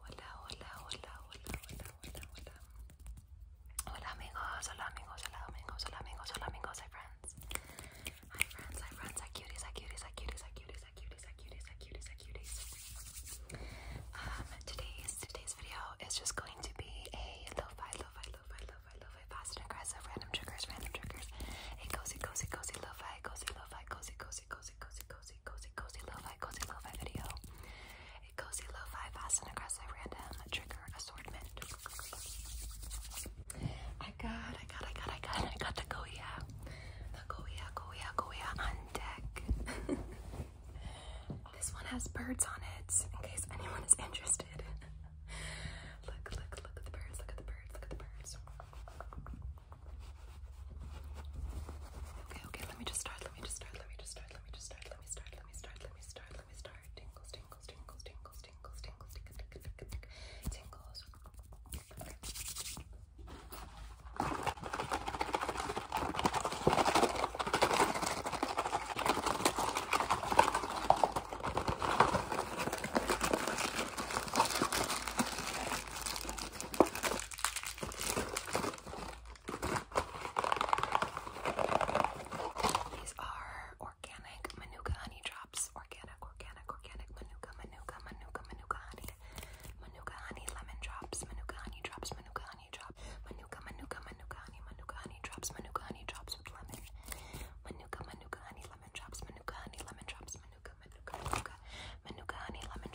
Hola, hola, hola, hola, hola, hola, hola. Hola amigos, hola amigos, hola amigos, hola amigos, hola amigos, hi friends. Hi friends, hi friends, hi cuties, hi cuties, hi cuties, hi cuties, hi cuties, hi cuties, hi cuties, hi cuties. Um today's today's video is just going to be a lo-fi, lo-fi, lo-fi, lo-fi, lo-fi, fast and aggressive, random triggers, random triggers. A cozy, cozy, cozy, lo-fi, cozy, lo-fi, cozy, cozy, cozy, cozy, cozy, cozy, cozy, cozy lo-fi, cozy lo-fi video. A cozy lo-fi, fast and aggressive, random trigger assortment. I got, I got, I got, I got, I got the Goya. The Goya, Goya, Goya on deck. this one has birds on it, in case anyone is interested. look, look, look at the birds, look at the birds, look at the birds. Okay, okay, let me just start, let me just start, let me just start start, let me just start, let me start, let me start, let me start, let me start. Tingles, tingles, tingles, tingles, tingles, tingles, tingles, tingles, tingles, tingles. Okay. These are organic Manuka honey drops. Organic, organic, organic Manuka, Manuka, Manuka, Manuka honey. Manuka honey lemon drops. Manuka honey drops. Manuka honey drops. Manuka, Manuka, Manuka honey. Manuka honey drops. Manuka honey drops with lemon. Manuka, Manuka honey lemon drops. Manuka honey lemon drops. Manuka, Manuka, Manuka. Manuka honey lemon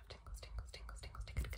bunch of tingles, tingles, tingles, tingles, tingles,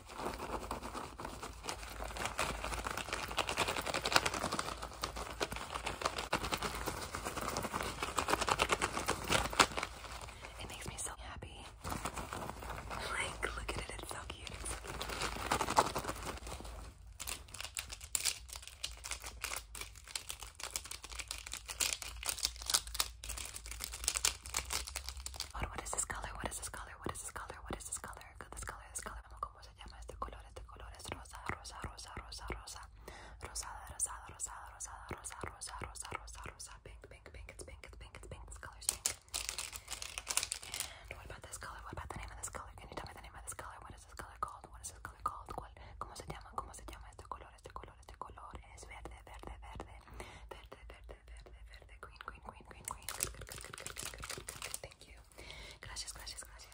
It makes me so happy. Like, look at it, it's so cute. It's so cute. Ahora, oh, what is this color? What is this color? What is this color? What is this color? This color, this color. Vamos, ¿cómo se llama este color? Este color es rosa, rosa, rosa, rosa, rosa. Rosada, rosada, rosada, rosada, rosa, rosa, rosa, rosa, rosa. Pink, pink, pink. It's pink, it's pink, it's pink. This color is pink. And what about this color? What about the name of this color? Can you tell me the name of this color? What is this color called? What is this color called? ¿Cuál? ¿Cómo se llama? ¿Cómo se llama este color? Este color, este color es verde, verde, verde. Verde, verde verde, verde, verde, green, green, green, green, green. Good, good, good, good, good, good, good, good, good, good. Thank you. Gracias, gracias, gracias.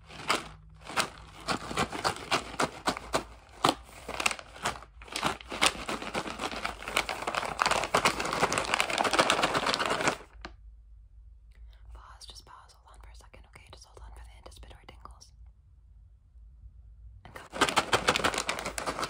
Pause, just pause, hold on for a second, okay? Just hold on for the anticipatory tingles. And come. And pause.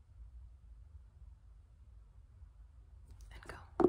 and go.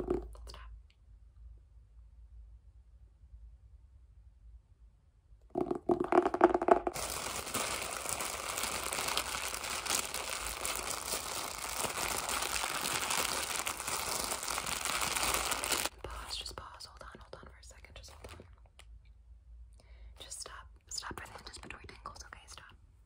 Pause, just pause, hold on, hold on for a second, just hold Just stop, stop for the anticipatory tingles, okay? Stop.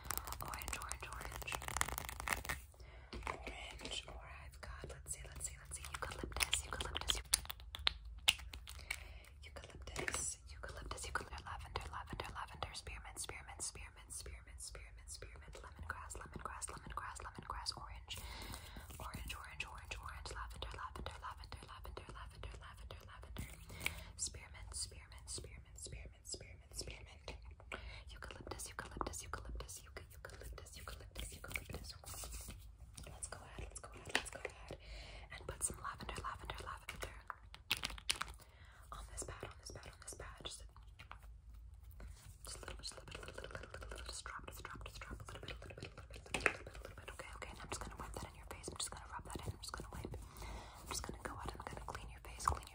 Oh, orange, orange, orange. Orange, or I've got, let's see, let's see, let's see. Eucalyptus, eucalyptus, eucalyptus, eucalyptus, eucalyptus, lavender, lavender, lavender, spearmint, spearmint, spearmint, spearmint, spearmint, spearmint, lemongrass, lemongrass, lemongrass, lemongrass, orange. Orange, orange, orange, orange, lavender, lavender, lavender, lavender, lavender, lavender, lavender. Spearmint, spearmint, spearmint, spearmint spearmint, spearmint, spearmint. Eucalyptus, eucalyptus, eucalyptus, eucalyptus, eucalyptus, eucalyptus. Let's go ahead, let's go ahead, let's go ahead. And put some lavender, lavender, lavender. On this pad, on this pad, on this pad. Just, just a little bit, just a little bit, a little, little, little, little, just drop, just drop, just drop, a little bit, a little bit, a little bit, a little bit, a little bit. Okay, okay, and I'm just gonna wipe that in your face. I'm just gonna rub that in. I'm just gonna wipe. I'm just gonna go ahead and I'm gonna clean your face, clean your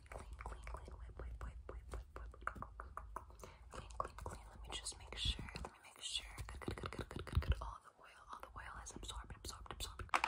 clean, clean, clean, clean, whip, whip, whip, whip, whip, whip. Clean, clean, clean. Let me just make sure. Let me make sure. Good, good, good, good, good, good, good. All the oil, all the oil has absorbed, absorbed, absorbed. Good,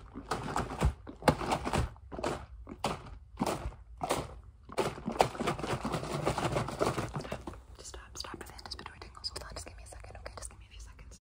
Just stop, stop with Just between tingles. Hold on, just give me a second, okay? Just give me a few seconds.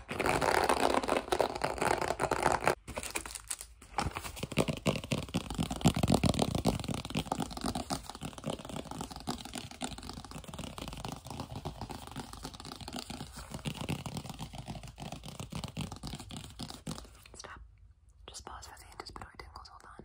Stop. Just pause for the anticipatory tingles. Hold on.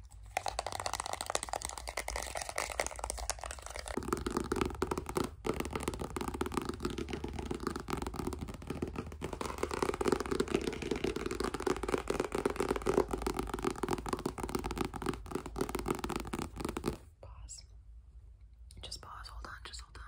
Pause. Just pause. Hold on. Just hold on.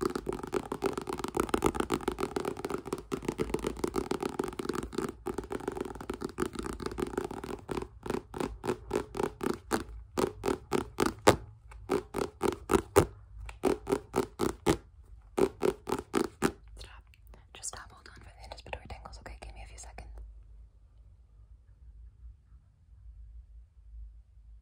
Stop. Just stop. Hold on for the anticipatory tingles. Okay, give me a few seconds.